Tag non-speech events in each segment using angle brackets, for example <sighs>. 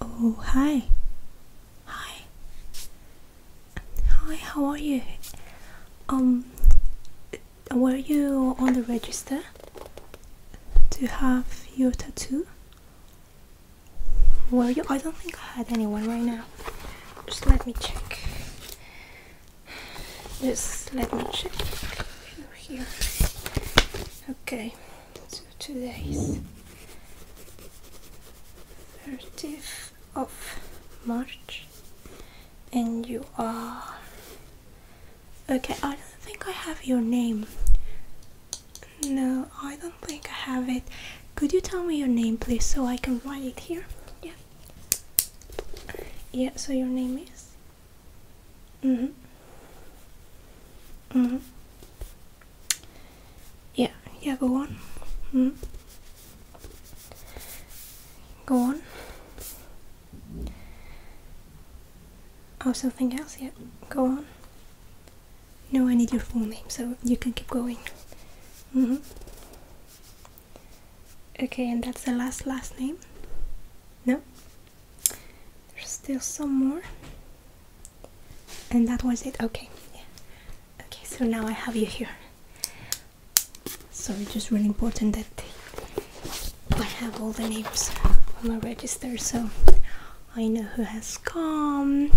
Oh, hi. Hi. Hi, how are you? Um, were you on the register to have your tattoo? Were you? I don't think I had anyone right now. Just let me check. Just let me check. Here. Okay so today is 30th of March and you are okay I don't think I have your name no I don't think I have it could you tell me your name please so I can write it here yeah yeah so your name is mm-hmm mm-hmm yeah, yeah, go on. Mm. Go on. Oh, something else? Yeah, go on. No, I need your full name, so you can keep going. Mm -hmm. Okay, and that's the last last name? No? There's still some more. And that was it. Okay. Yeah. Okay, so now I have you here. So it's just really important that I have all the names on my register so I know who has come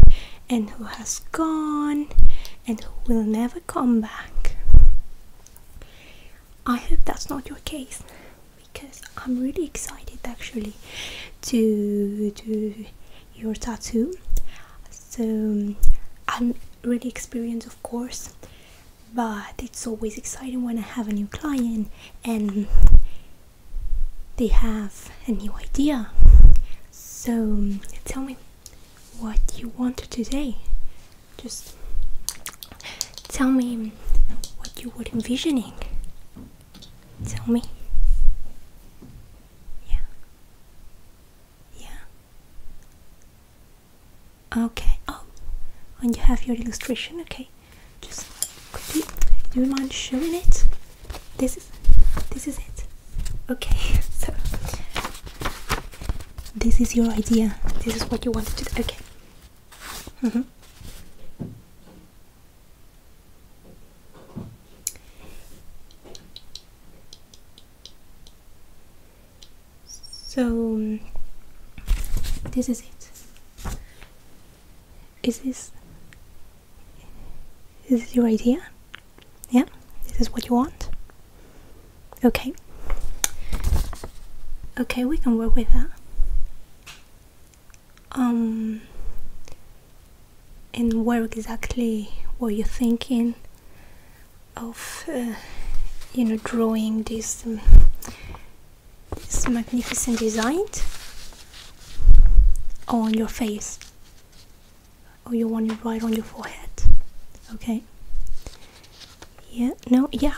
and who has gone and who will never come back. I hope that's not your case because I'm really excited actually to do your tattoo. So I'm really experienced, of course, but it's always exciting when I have a new client and they have a new idea. So tell me what you want today. Just tell me what you were envisioning. Tell me. Yeah. Yeah. Okay. Oh, and you have your illustration. Okay. Just could do you mind showing it? This is this is it. Okay. <laughs> So this is your idea. This is what you wanted to do. Okay. Mm -hmm. So this is it. Is this is this your idea? Yeah? This is what you want? Okay. Okay, we can work with that um and where exactly were you thinking of uh, you know drawing this um, this magnificent design on your face or you want it right on your forehead okay yeah no yeah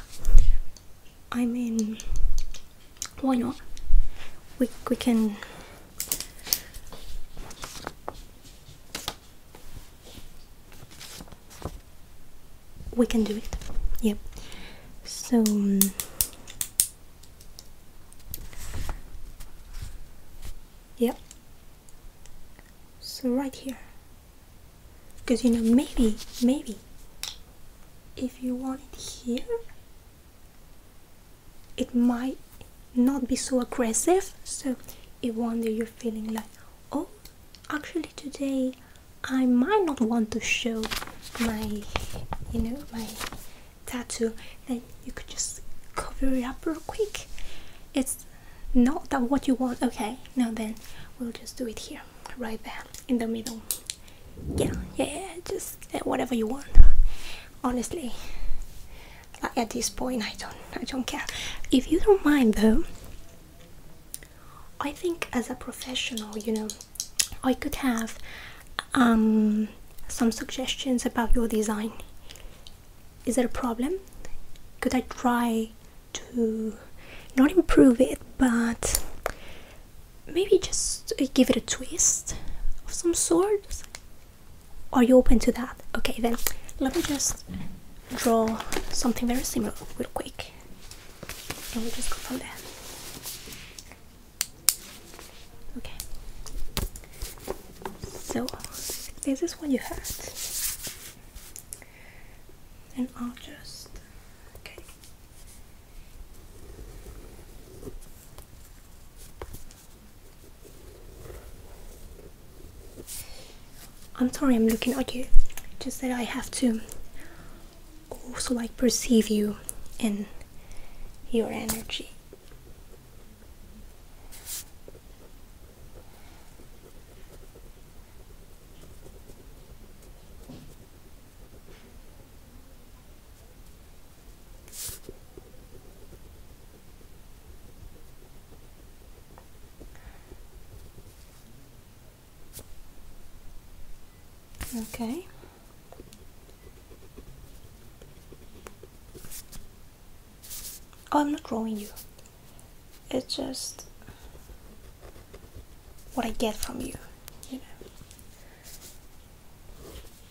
i mean why not we, we can we can do it Yep. so um, Yep. so right here because you know maybe maybe if you want it here it might not be so aggressive so if one day you're feeling like oh actually today i might not want to show my you know my tattoo then you could just cover it up real quick it's not that what you want okay now then we'll just do it here right there in the middle yeah, yeah, just whatever you want. Honestly, like at this point, I don't, I don't care. If you don't mind, though, I think as a professional, you know, I could have um, some suggestions about your design. Is there a problem? Could I try to not improve it, but maybe just uh, give it a twist of some sort. Are you open to that? Okay, then let me just draw something very similar real quick. And we just go from there. Okay. So this is what you had. And I'll just okay. I'm sorry I'm looking at you, just that I have to also like perceive you and your energy. Okay. Oh, I'm not drawing you. It's just what I get from you, you know.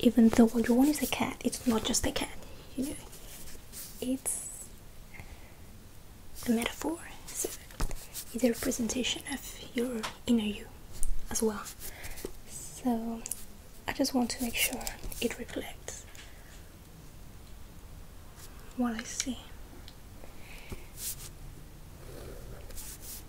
Even though what you want is a cat, it's not just a cat, It's a metaphor, it's a representation of your inner you as well. So I just want to make sure it reflects what I see.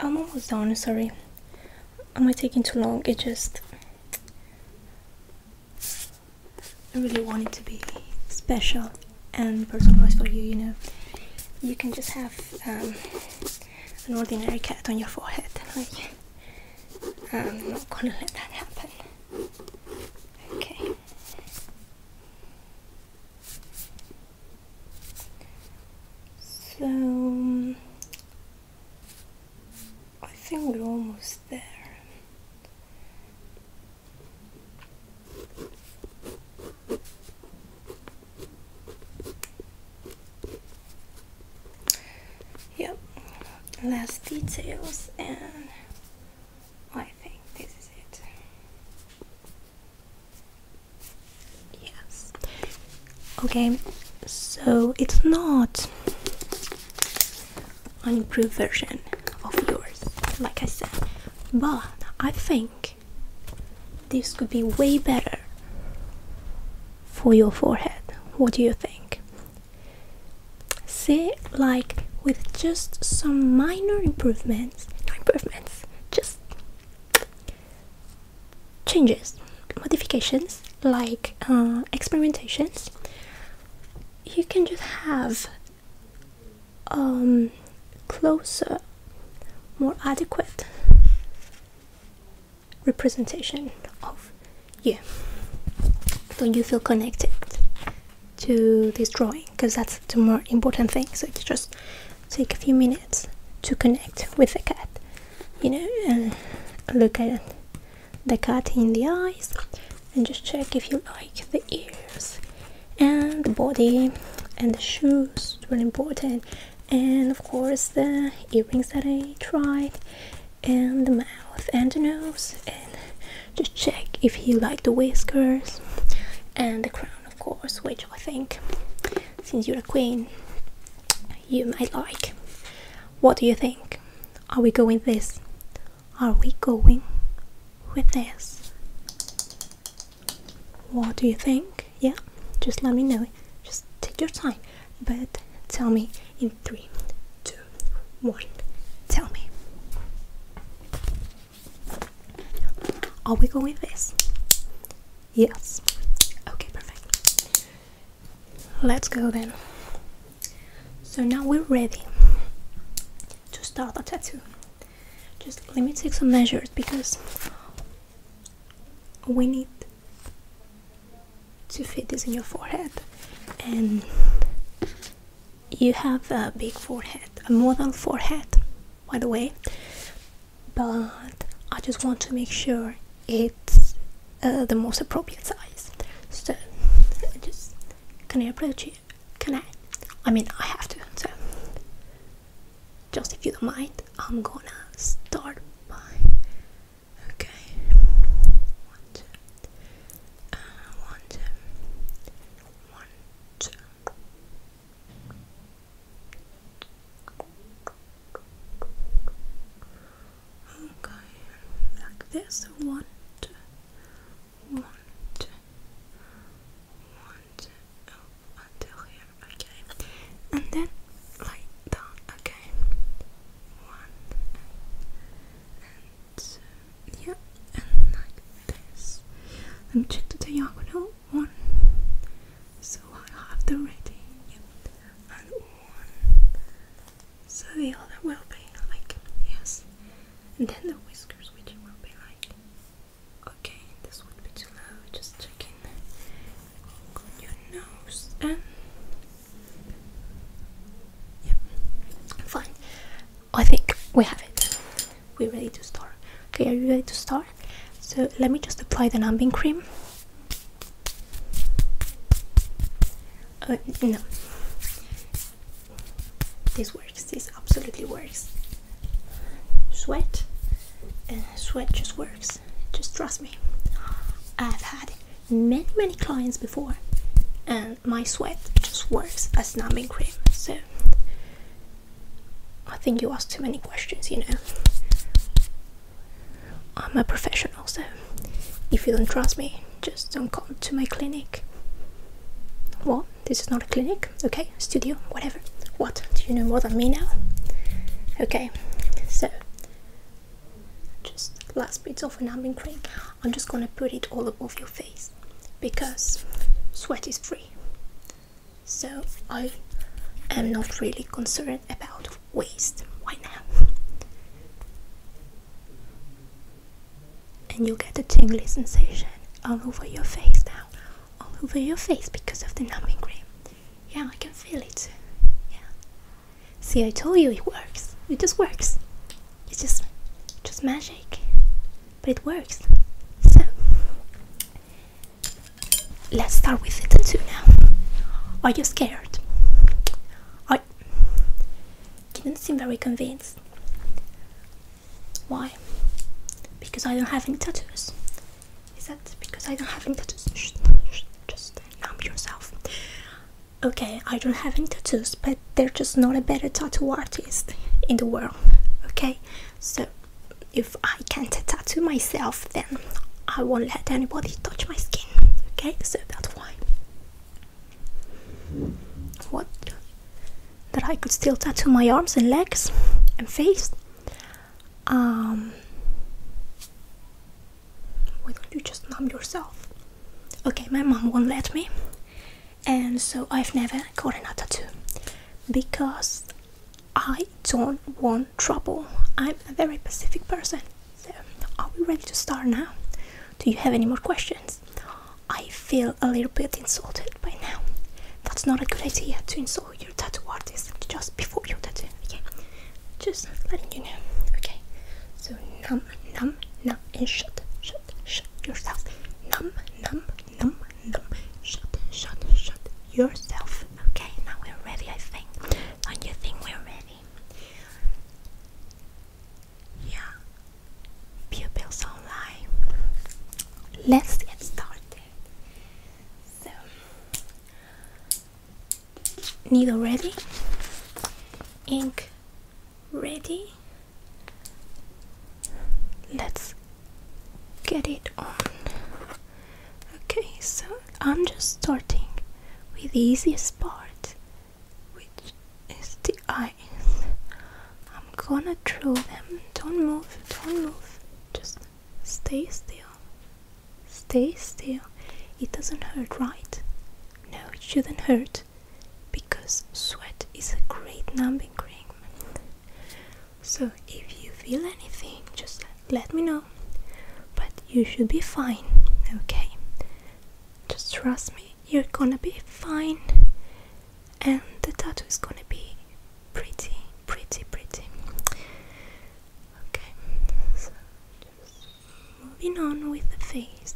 I'm almost done, sorry. Am I taking too long? It just I really want it to be special and personalized for you, you know. You can just have um, an ordinary cat on your forehead. Um, I'm not gonna let that happen. Okay. So, I think we're almost there. Yep, last details and I think this is it. Yes. Okay, so it's not an improved version of yours, like I said. But I think this could be way better for your forehead. What do you think? See, like with just some minor improvements, no improvements, just changes modifications like uh, experimentations you can just have um, closer more adequate representation of you Don't you feel connected to this drawing because that's the more important thing so you just take a few minutes to connect with the cat you know and look at it the cut in the eyes and just check if you like the ears and the body and the shoes it's really important and of course the earrings that I tried and the mouth and the nose and just check if you like the whiskers and the crown of course which I think since you're a queen you might like what do you think are we going this? Are we going with this? What do you think? Yeah, just let me know. Just take your time, but tell me in three, two, one. Tell me. Are we going this? Yes. Okay, perfect. Let's go then. So now we're ready to start the tattoo. Just let me take some measures because we need to fit this in your forehead and you have a big forehead, a model forehead by the way but I just want to make sure it's uh, the most appropriate size. So just can I approach you? Can I? I mean, I have to. So just if you don't mind, I'm gonna start by. Okay. One uh, okay like this want want oh, until here okay and then like that okay one and yeah and like this let me check the diagonal one so I have the ready and one so the other will be like yes, and then the whiskers, which will be like okay, this would be too low. Just checking your nose and yep, fine. I think we have it. We're ready to start. Okay, are you ready to start? So let me just apply the numbing cream. Uh, no. This works. This absolutely works. Sweat. Uh, sweat just works. Just trust me. I've had many, many clients before, and my sweat just works as numbing cream. So, I think you asked too many questions, you know. I'm a professional, so if you don't trust me, just don't come to my clinic. What? This is not a clinic, okay? Studio, whatever. What? Do you know more than me now? Okay, so just last bits of an numbing cream. I'm just gonna put it all above your face because sweat is free. So I am not really concerned about waste right now. And you get a tingly sensation all over your face now, all over your face because of the numbing cream. Yeah, I can feel it. Yeah. See, I told you it works. It just works. It's just, just magic. But it works. So, let's start with the tattoo now. Are you scared? He didn't seem very convinced. Why? Because I don't have any tattoos. Is that because I don't have any tattoos? just numb yourself. Okay, I don't have any tattoos, but they're just not a better tattoo artist in the world. Okay, so if I can't tattoo myself, then I won't let anybody touch my skin. Okay, so that's why. What? That I could still tattoo my arms and legs and face? Um, why don't you just numb yourself? Okay, my mom won't let me, and so I've never gotten a tattoo because I don't want trouble. I'm a very pacific person. So, are we ready to start now? Do you have any more questions? I feel a little bit insulted by now. That's not a good idea to insult your tattoo artist just before your tattoo, okay? Just letting you know, okay? So, numb, numb, numb, and shut, shut, shut yourself. Numb, numb, numb, numb, shut, shut, shut yourself. Okay, now we're ready, I think. Don't you think we're ready? Yeah, pupils online. Let's get started. So, needle ready, ink ready. Let's get it on. Okay, so I'm just starting with the easiest part which is the eyes. I'm gonna draw them. Don't move, don't move. Just stay still. Stay still. It doesn't hurt, right? No, it shouldn't hurt because sweat is a great numbing cream. So if you feel anything, just let me know. But you should be fine, okay? Just trust me, you're gonna be fine, and the tattoo is gonna be pretty, pretty, pretty. Okay, so just moving on with the face.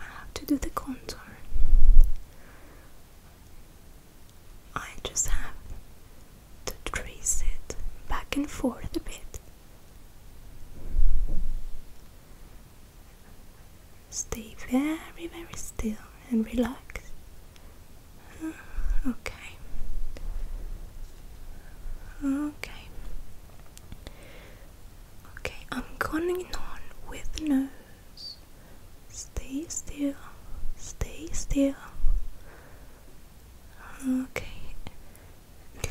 I have to do the contour. I just have to trace it back and forth a bit Stay very, very still and relax. <sighs> Okay. Okay. Okay, I'm going on with the nose. Stay still. Stay still. Okay.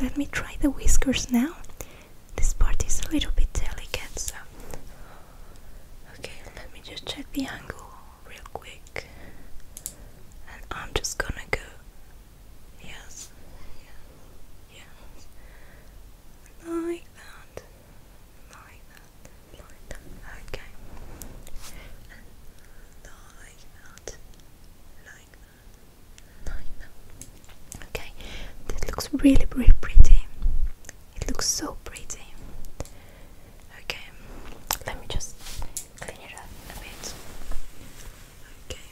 Let me try the whiskers now. This part is a little bit delicate, so. Okay, let me just check the angle real quick. And I'm just gonna go. Yes, yes, yes. Like that. Like that. Like that. Okay. And like that. Like nine. Okay, that looks really, really pretty. It looks so pretty. Okay, let me just clean it up a bit. Okay.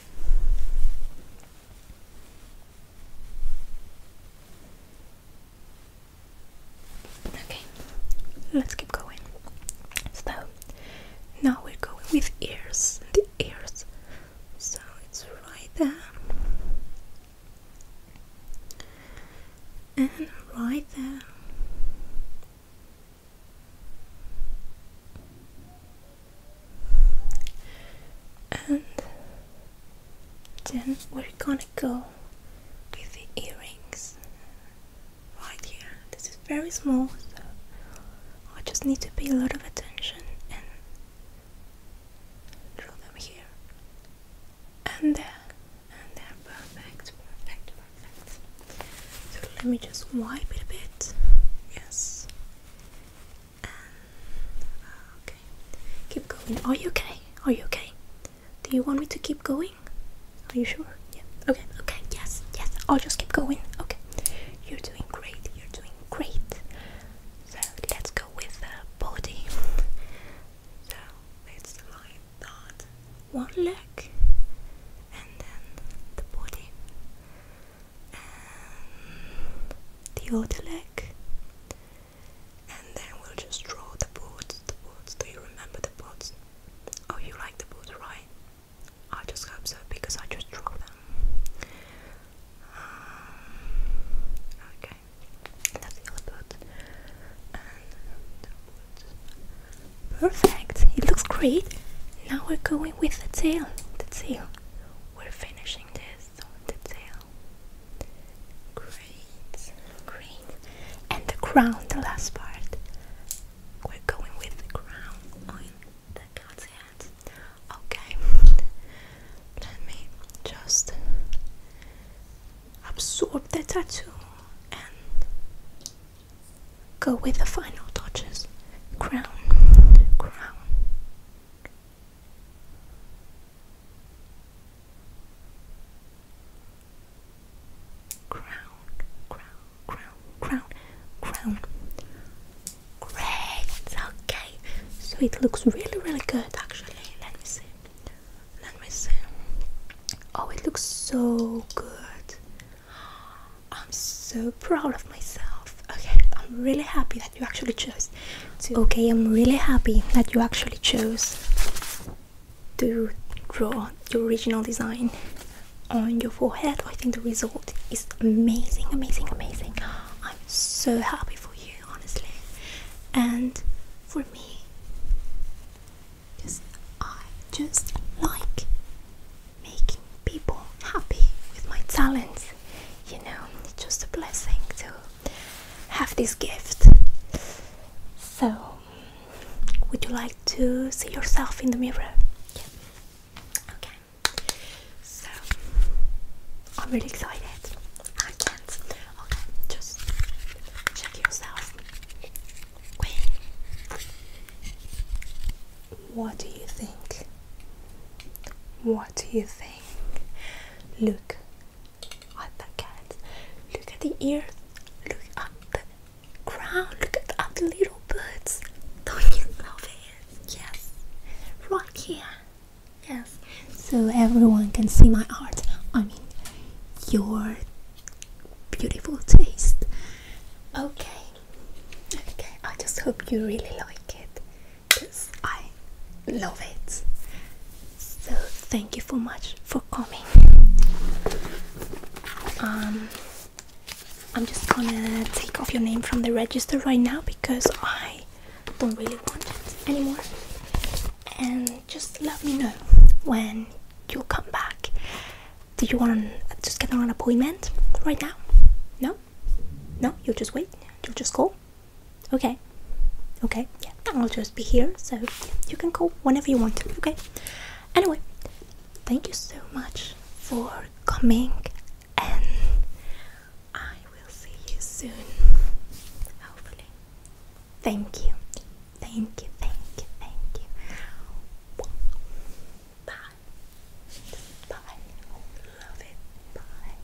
Okay, let's keep going. So now we're going with ears. The ears so it's right there and right there and then we're gonna go with the earrings right here. This is very small, I just need to pay a lot of attention and draw them here and there and there perfect perfect perfect so let me just wipe it a bit yes uh, okay keep going are you okay are you okay do you want me to keep going are you sure yeah okay okay yes yes I'll just keep going okay you're doing great you're doing Great! So let's go with the body. so it's like that. One leg and then the body. And the other leg. And then we'll just draw the boots, the boots. Do you remember the boots? Oh, you like the boots, right? I just hope so because I just draw them. Um, okay, that's the other boot. perfect. It looks great. Now we're going with the tail. The tail. We're finishing this the tail. Great, great. And the crown, the last part. We're going with the crown on the cat's Okay, let me just absorb the tattoo and go with the final touches. Crown, crown. Crown, crown, crown, crown, crown. Great, okay. So it looks really, really good actually. Let me see. Let me see. Oh, it looks so good. I'm so proud of myself. Okay, I'm really happy that you actually chose. To okay, I'm really happy that you actually chose to draw your original design on your forehead. I think the result it's amazing, amazing, amazing. I'm so happy for you, honestly. And for me, because I just like making people happy with my talents. You know, it's just a blessing to have this gift. So, would you like to see yourself in the mirror? Yeah. Okay. So I'm really excited. I can Okay, just check yourself. Wait. What do you think? What do you think? Look at the cat. Look at the ears. Look at the crown. Look at the, at little birds. Don't you love it? yes, yes, right here, yes, so everyone can see my art. I mean, your beautiful taste. Okay, okay, I just hope you really like it because I love it. So, thank you so much for coming. Um, I'm just gonna take off your name from the register right now because I don't really want it anymore. And just let me know when you will come back. Do you want to just get an appointment right now? No? No? You'll just wait? You'll just call? Okay. Okay, yeah, I'll just be here, so you can call whenever you want okay? Anyway, thank you so much for coming and I will see you soon. Hopefully. Thank you. Thank you. Thank you. Thank you. Bye. Bye. Love it. Bye.